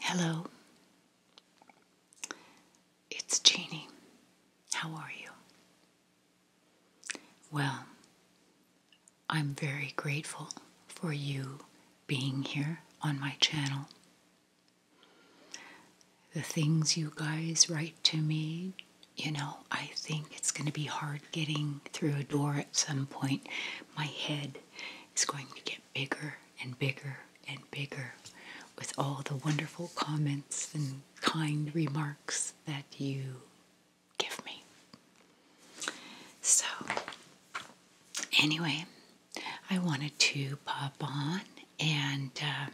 Hello. It's Jeannie. How are you? Well, I'm very grateful for you being here on my channel. The things you guys write to me, you know, I think it's going to be hard getting through a door at some point. My head is going to get bigger and bigger and bigger with all the wonderful comments and kind remarks that you give me. So, anyway, I wanted to pop on and uh,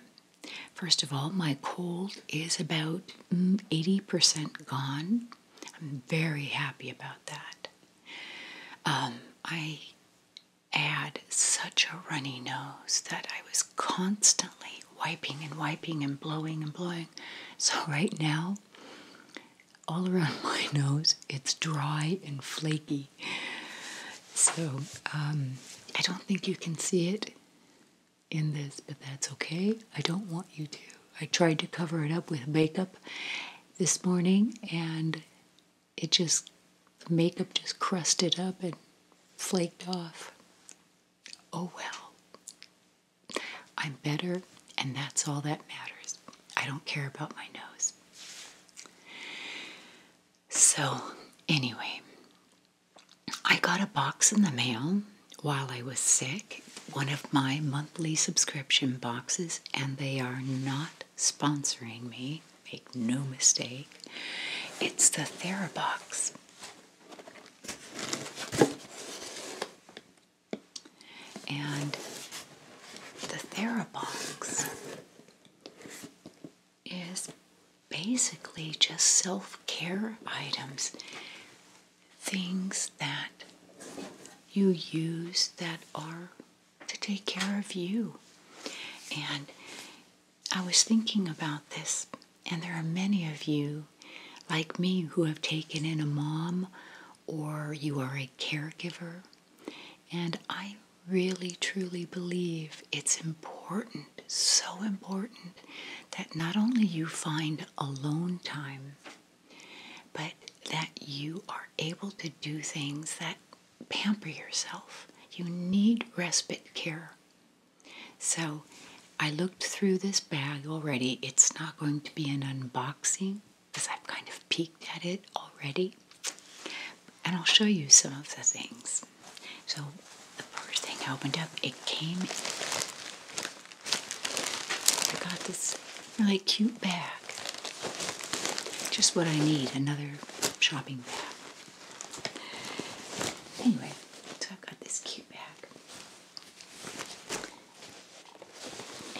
first of all, my cold is about 80% mm, gone. I'm very happy about that. Um, I had such a runny nose that I was constantly wiping and wiping and blowing and blowing. So, right now, all around my nose. It's dry and flaky. So um, I don't think you can see it in this, but that's okay. I don't want you to. I tried to cover it up with makeup this morning and it just, the makeup just crusted up and flaked off. Oh well. I'm better, and that's all that matters. I don't care about my nose. So, anyway, I got a box in the mail while I was sick, one of my monthly subscription boxes, and they are not sponsoring me. Make no mistake. It's the Therabox. And the Therabox is basically just self care items, things that you use that are to take care of you. And I was thinking about this, and there are many of you like me who have taken in a mom or you are a caregiver. And I really truly believe it's important, so important, that not only you find alone time, but that you are able to do things that pamper yourself. You need respite care. So I looked through this bag already. It's not going to be an unboxing, because I've kind of peeked at it already. And I'll show you some of the things. So the first thing I opened up, it came. I got this really cute bag. Just what I need, another shopping bag. Anyway, so I've got this cute bag.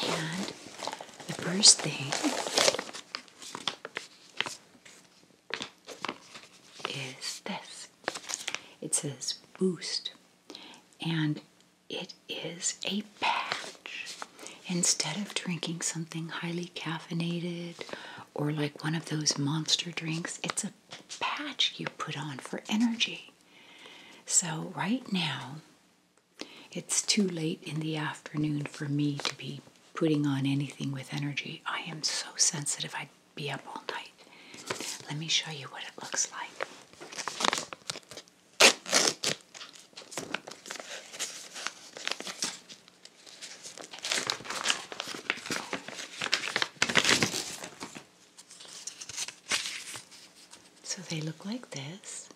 And the first thing is this it says Boost, and it is a patch. Instead of drinking something highly caffeinated or like one of those monster drinks, it's a patch you put on for energy. So, right now, it's too late in the afternoon for me to be putting on anything with energy. I am so sensitive, I'd be up all night. Let me show you what it looks like. So they look like this.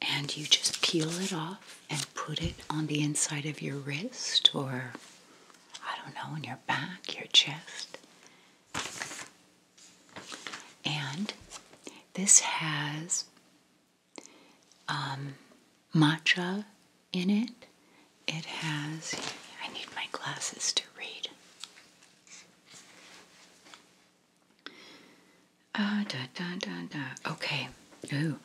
And you just peel it off and put it on the inside of your wrist or, I don't know, on your back, your chest. And this has um, matcha in it. It has, I need my glasses to read. Uh, da, da, da, da. Okay. Ooh.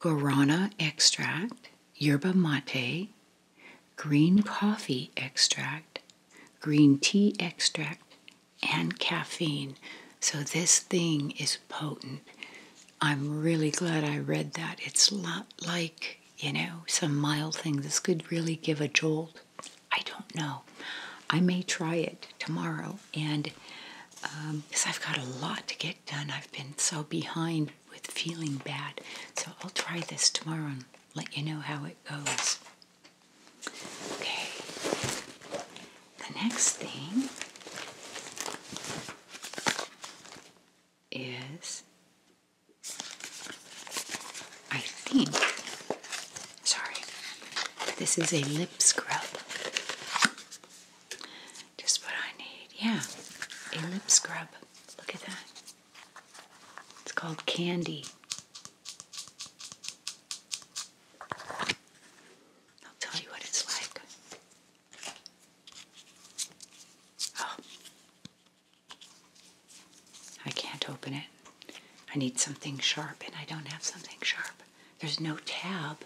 Guarana extract, yerba mate, green coffee extract, green tea extract, and caffeine. So this thing is potent. I'm really glad I read that. It's not like, you know, some mild thing. This could really give a jolt. I don't know. I may try it tomorrow, and because um, I've got a lot to get done, I've been so behind with feeling bad. So I'll try this tomorrow and let you know how it goes. Okay. The next thing is I think, sorry, this is a lip scrub. Just what I need. Yeah, a lip scrub. Look at that. It's called Candy. I'll tell you what it's like. Oh. I can't open it. I need something sharp, and I don't have something sharp. There's no tab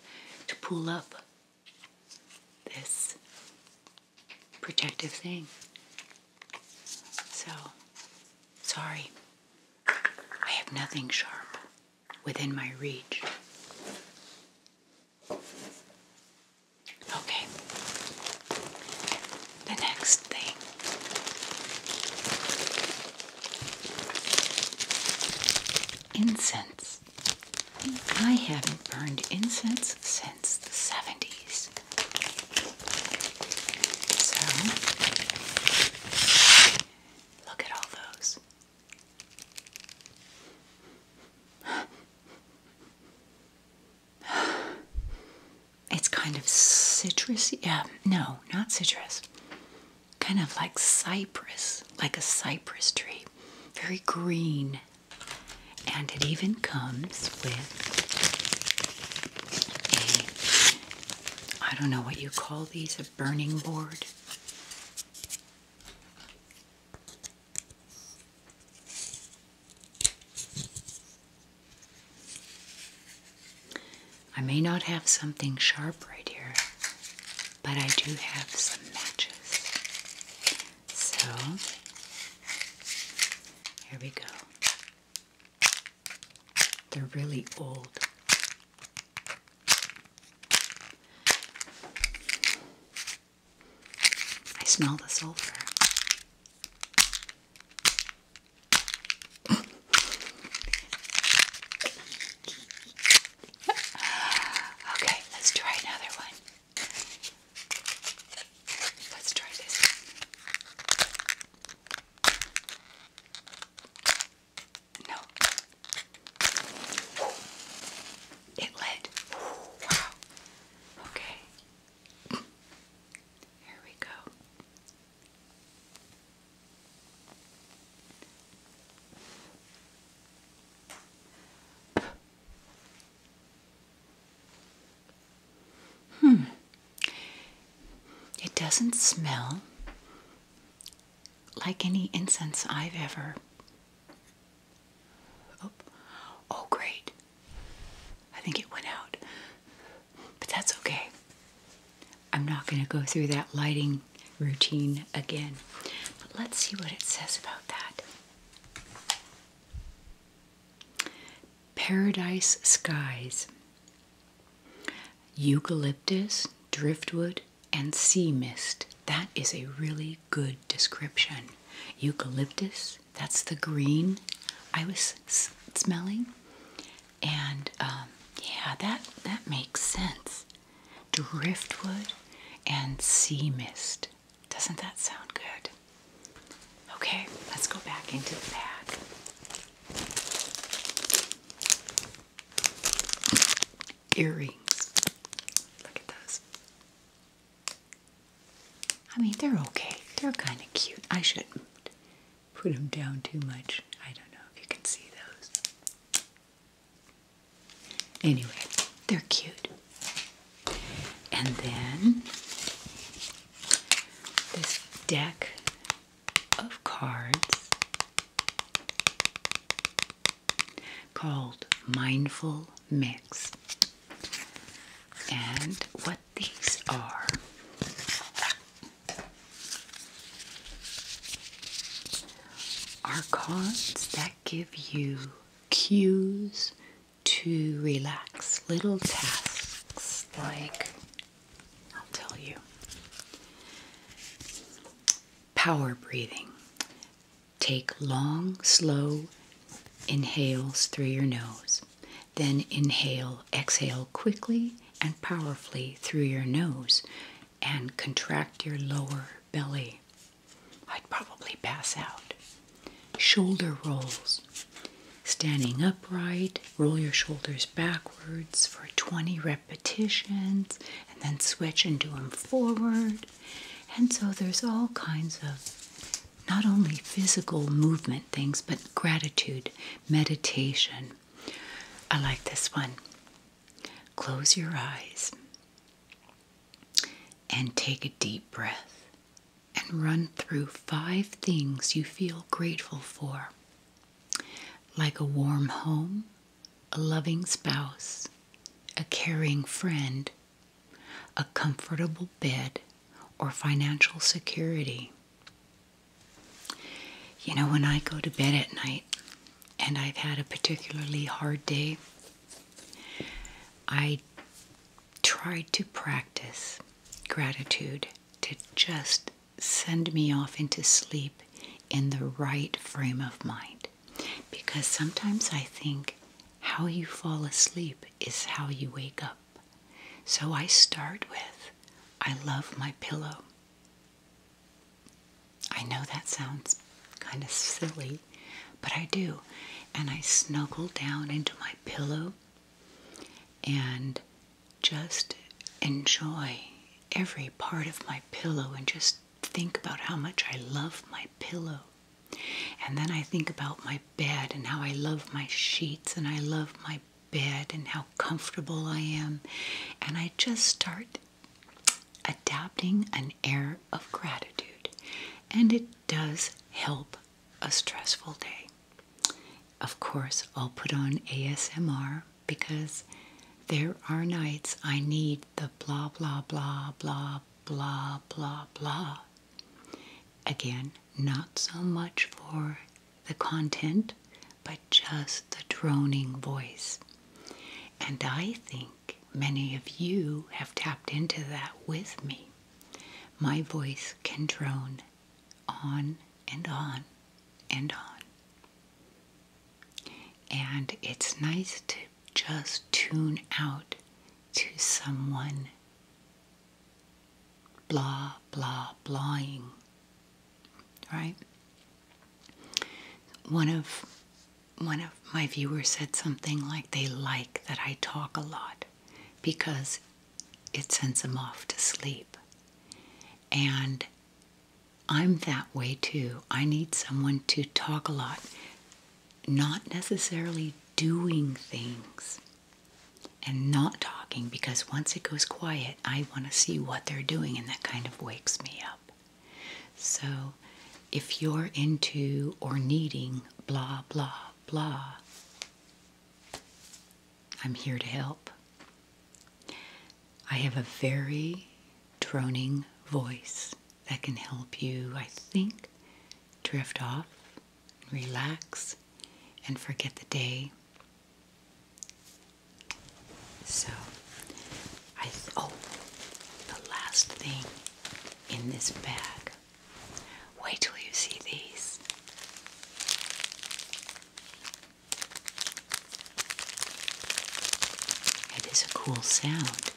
to pull up this protective thing. So, sorry. I have nothing sharp within my reach. Okay. The next thing incense. I haven't burned incense since the 70s. So, look at all those. It's kind of citrusy. Yeah, no, not citrus. Kind of like cypress, like a cypress tree. Very green. And it even comes with a, I don't know what you call these, a burning board. I may not have something sharp right here, but I do have some matches. So, here we go. They're really old. I smell the sulfur. okay, let's try another one. Let's try this. No. It led. Wow. Okay. Here we go. Hmm. It doesn't smell like any incense I've ever. Oh, great. I think it went out. But that's okay. I'm not going to go through that lighting routine again. But let's see what it says about that. Paradise skies. Eucalyptus, driftwood, and sea mist. That is a really good description. Eucalyptus, that's the green I was smelling. And um, yeah, that, that makes sense. Driftwood and sea mist. Doesn't that sound good? Okay, let's go back into the bag earrings. Look at those. I mean, they're okay. They're kind of cute. I shouldn't put them down too much. I don't know if you can see those. Anyway, they're cute. And then this deck of cards called Mindful Mix. And what these are are cards that give you cues to relax, little tasks like I'll tell you. Power breathing. Take long, slow inhales through your nose. Then inhale, exhale quickly and powerfully through your nose and contract your lower belly. I'd probably pass out. Shoulder rolls. Standing upright, roll your shoulders backwards for 20 repetitions and then switch and do them forward. And so there's all kinds of not only physical movement things, but gratitude, meditation. I like this one. Close your eyes and take a deep breath and run through five things you feel grateful for, like a warm home, a loving spouse, a caring friend, a comfortable bed, or financial security. You know, when I go to bed at night and I've had a particularly hard day, I try to practice gratitude to just send me off into sleep in the right frame of mind. Because sometimes I think how you fall asleep is how you wake up. So I start with, I love my pillow. I know that sounds kind of silly, but I do. And I snuggle down into my pillow and just enjoy every part of my pillow and just think about how much I love my pillow. And then I think about my bed and how I love my sheets and I love my bed and how comfortable I am. And I just start adapting an air of gratitude. And it does help a stressful day. Of course, I'll put on ASMR because there are nights I need the blah, blah, blah, blah, blah, blah, blah. Again, not so much for the content, but just the droning voice. And I think many of you have tapped into that with me. My voice can drone on and on and on. And it's nice to just tune out to someone blah, blah, blahing, right? One of one of my viewers said something like they like that I talk a lot because it sends them off to sleep. And I'm that way too. I need someone to talk a lot, not necessarily doing things and not talking because once it goes quiet, I want to see what they're doing and that kind of wakes me up. So if you're into or needing blah, blah, blah, I'm here to help. I have a very droning voice that can help you, I think, drift off, relax, and forget the day. So, I oh, the last thing in this bag. Wait till you see these. It is a cool sound.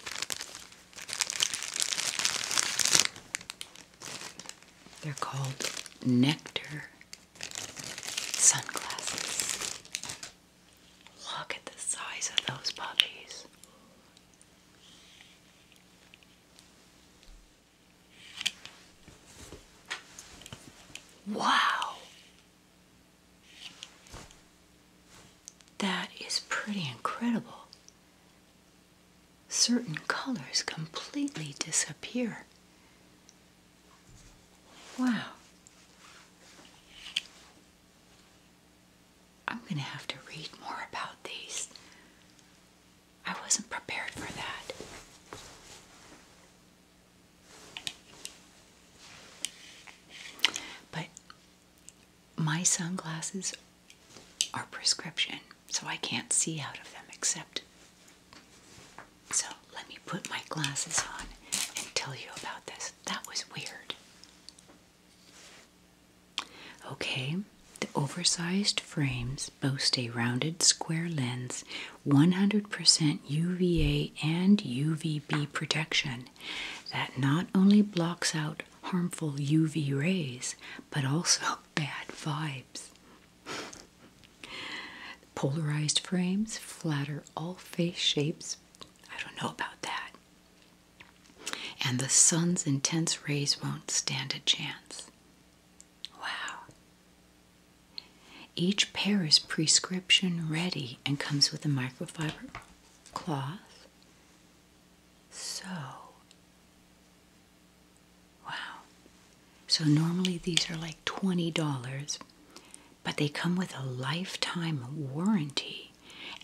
They're called nectar sunglasses. Look at the size of those puppies. Wow. That is pretty incredible. Certain colors completely disappear. Wow. I'm going to have to read more about these. I wasn't prepared for that. But my sunglasses are prescription, so I can't see out of them except. So let me put my glasses on and tell you about this. That was weird. Okay, the oversized frames boast a rounded square lens 100% UVA and UVB protection that not only blocks out harmful UV rays but also bad vibes. Polarized frames flatter all face shapes. I don't know about that. And the sun's intense rays won't stand a chance. Wow. Each pair is prescription ready and comes with a microfiber cloth. So, wow. So, normally these are like $20, but they come with a lifetime warranty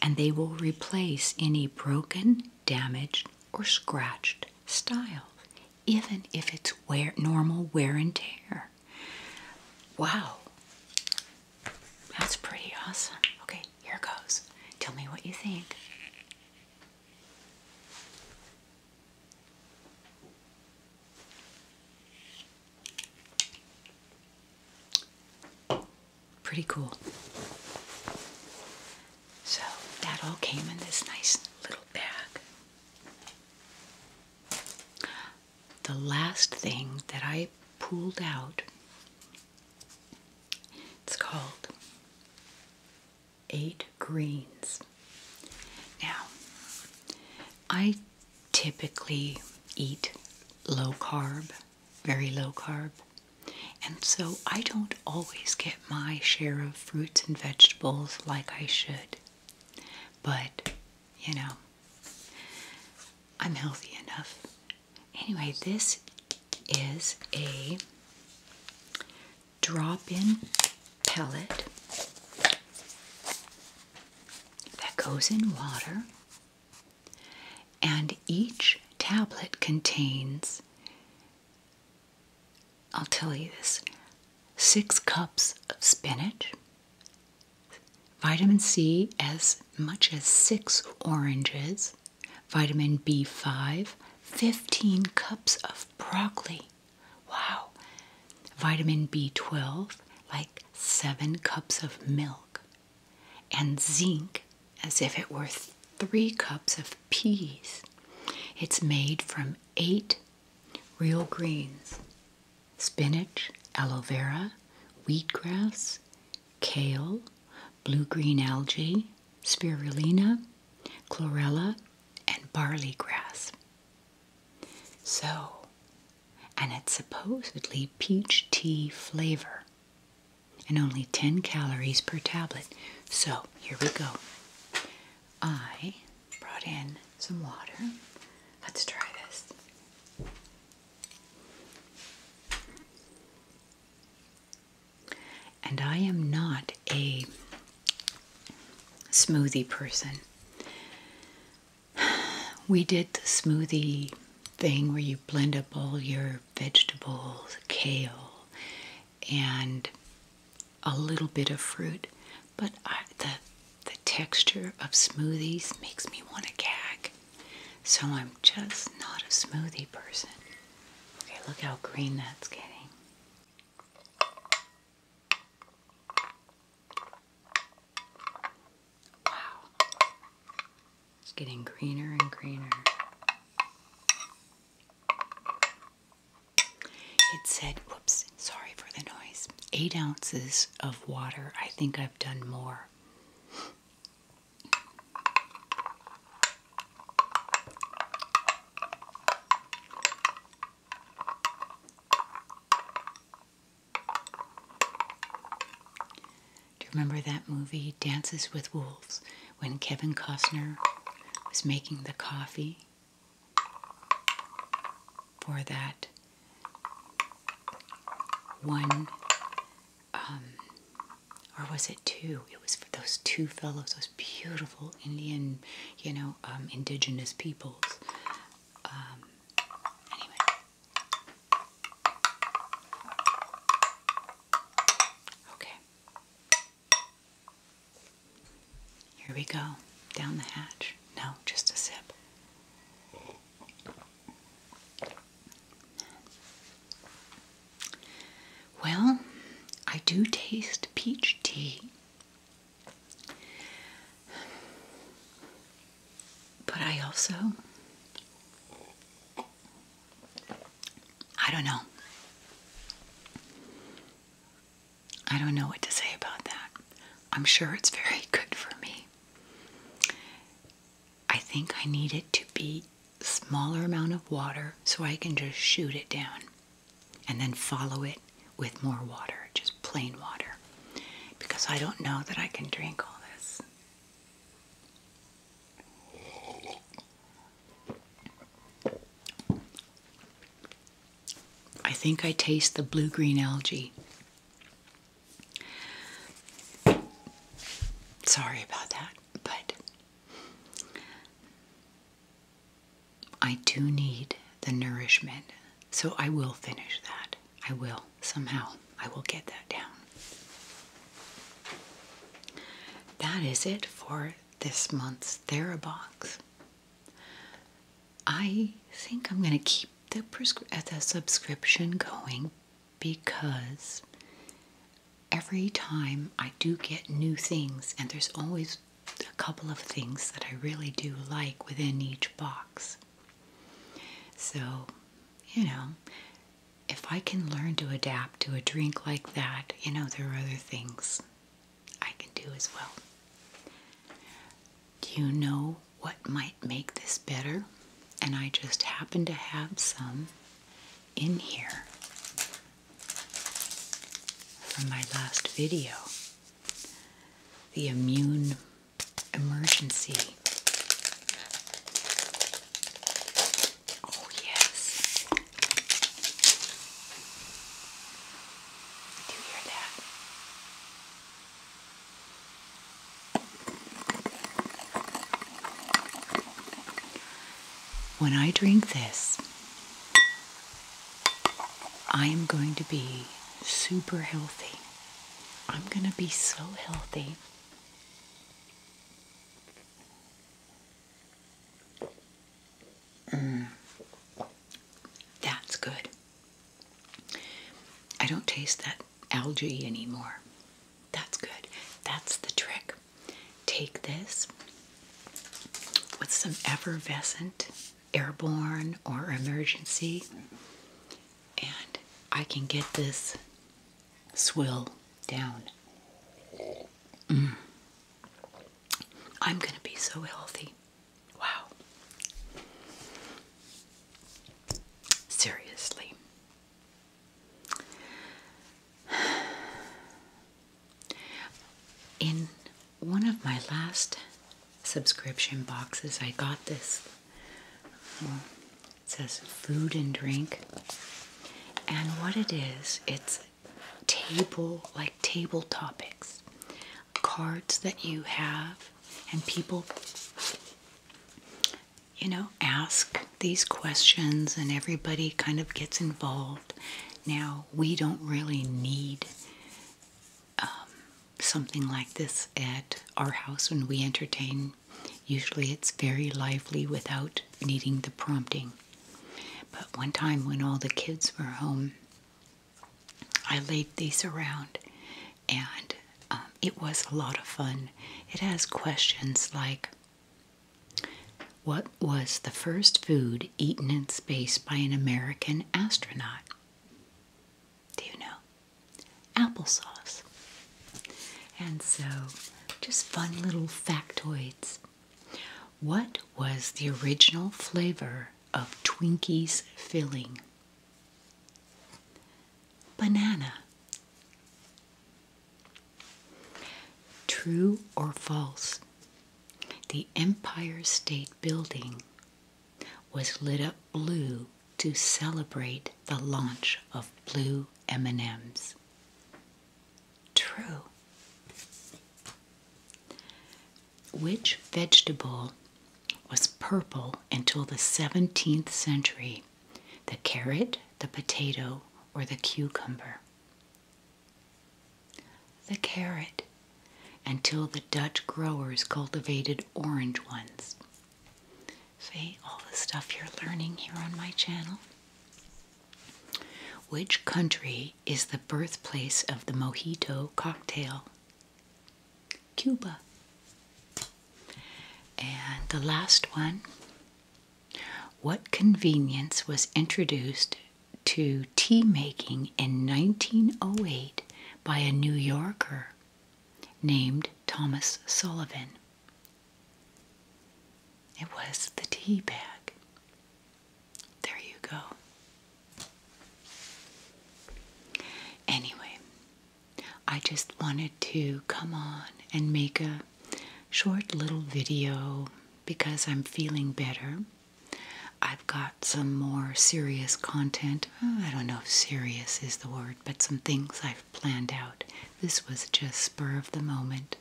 and they will replace any broken, damaged, or scratched style even if it's wear, normal wear and tear. Wow, that's pretty awesome. Okay, here goes. Tell me what you think. Pretty cool. So that all came in this nice little bag. The last thing that I pulled out, it's called Eight Greens. Now, I typically eat low carb, very low carb, and so I don't always get my share of fruits and vegetables like I should. But, you know, I'm healthy enough. Anyway, this is a drop in pellet that goes in water, and each tablet contains I'll tell you this six cups of spinach, vitamin C as much as six oranges, vitamin B5, 15 cups of broccoli. Wow. Vitamin B12, like seven cups of milk, and zinc as if it were three cups of peas. It's made from eight real greens, spinach, aloe vera, wheatgrass, kale, blue-green algae, spirulina, chlorella, and barley grass. So, and it's supposedly peach tea flavor and only 10 calories per tablet. So, here we go. I brought in some water. Let's try this. And I am not a smoothie person. We did the smoothie thing where you blend up all your vegetables, kale, and a little bit of fruit, but the the texture of smoothies makes me want to gag. So I'm just not a smoothie person. Okay, look how green that's getting. Wow. It's getting greener and greener. It said, whoops, sorry for the noise, eight ounces of water. I think I've done more. Do you remember that movie, Dances with Wolves, when Kevin Costner was making the coffee? for that one, um, or was it two? It was for those two fellows, those beautiful Indian, you know, um, indigenous peoples. Um, anyway. Okay. Here we go. Down the hatch. No, just a sip. Well, I do taste peach tea. But I also, I don't know. I don't know what to say about that. I'm sure it's very good for me. I think I need it to be smaller amount of water so I can just shoot it down and then follow it with more water, just plain water, because I don't know that I can drink all this. I think I taste the blue green algae. Sorry about that, but I do need the nourishment, so I will finish that. I will, somehow, I will get that down. That is it for this month's Therabox. I think I'm going to keep the, uh, the subscription going because every time I do get new things, and there's always a couple of things that I really do like within each box. So, you know, if I can learn to adapt to a drink like that, you know, there are other things I can do as well. Do you know what might make this better? And I just happen to have some in here from my last video the immune emergency Oh, yes. Do you hear that? When I drink this, I am going to be super healthy. I'm going to be so healthy. Mm. That's good. I don't taste that algae anymore. That's good. That's the trick. Take this with some effervescent airborne or emergency, and I can get this swill down. Mm. I'm going to be so healthy. Wow. Seriously. In one of my last subscription boxes, I got this. it says food and drink. And what it is, it's table, like table topics, cards that you have, and people, you know, ask these questions, and everybody kind of gets involved. Now, we don't really need um, something like this at our house when we entertain Usually it's very lively without needing the prompting. But one time when all the kids were home, I laid these around and um, it was a lot of fun. It has questions like What was the first food eaten in space by an American astronaut? Do you know? Applesauce. And so, just fun little factoids. What was the original flavor of Twinkies filling? Banana. True or false? The Empire State Building was lit up blue to celebrate the launch of blue M&Ms. True. Which vegetable was purple until the 17th century? The carrot, the potato, or the cucumber? The carrot, until the Dutch growers cultivated orange ones. See all the stuff you're learning here on my channel. Which country is the birthplace of the mojito cocktail? Cuba. And the last one. What convenience was introduced to tea making in 1908 by a New Yorker named Thomas Sullivan? It was the tea bag. There you go. Anyway, I just wanted to come on and make a short little video because I'm feeling better. I've got some more serious content. Uh, I don't know if serious is the word, but some things I have planned out. This was just spur of the moment,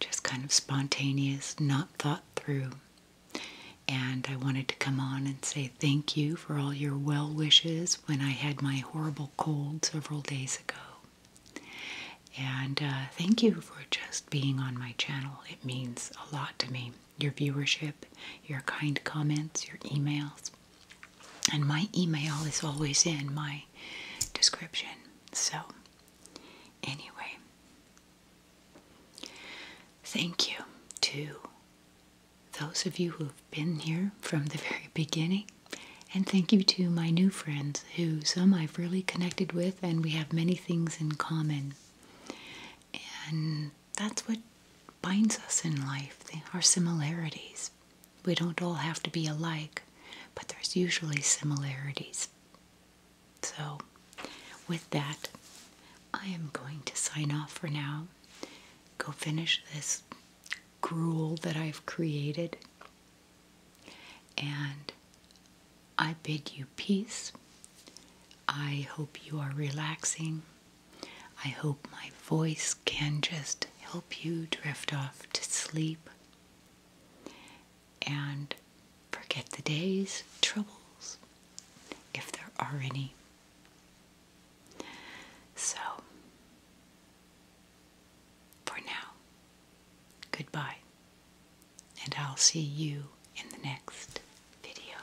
just kind of spontaneous, not thought through. And I wanted to come on and say thank you for all your well wishes when I had my horrible cold several days ago. And uh, thank you for just being on my channel. It means a lot to me. Your viewership, your kind comments, your emails. And my email is always in my description. So, anyway, thank you to those of you who've been here from the very beginning. And thank you to my new friends, who some I've really connected with, and we have many things in common. And that's what binds us in life, our similarities. We don't all have to be alike, but there's usually similarities. So, with that, I am going to sign off for now. Go finish this gruel that I've created. And I bid you peace. I hope you are relaxing. I hope my voice can just help you drift off to sleep and forget the day's troubles, if there are any. So, for now, goodbye, and I'll see you in the next video.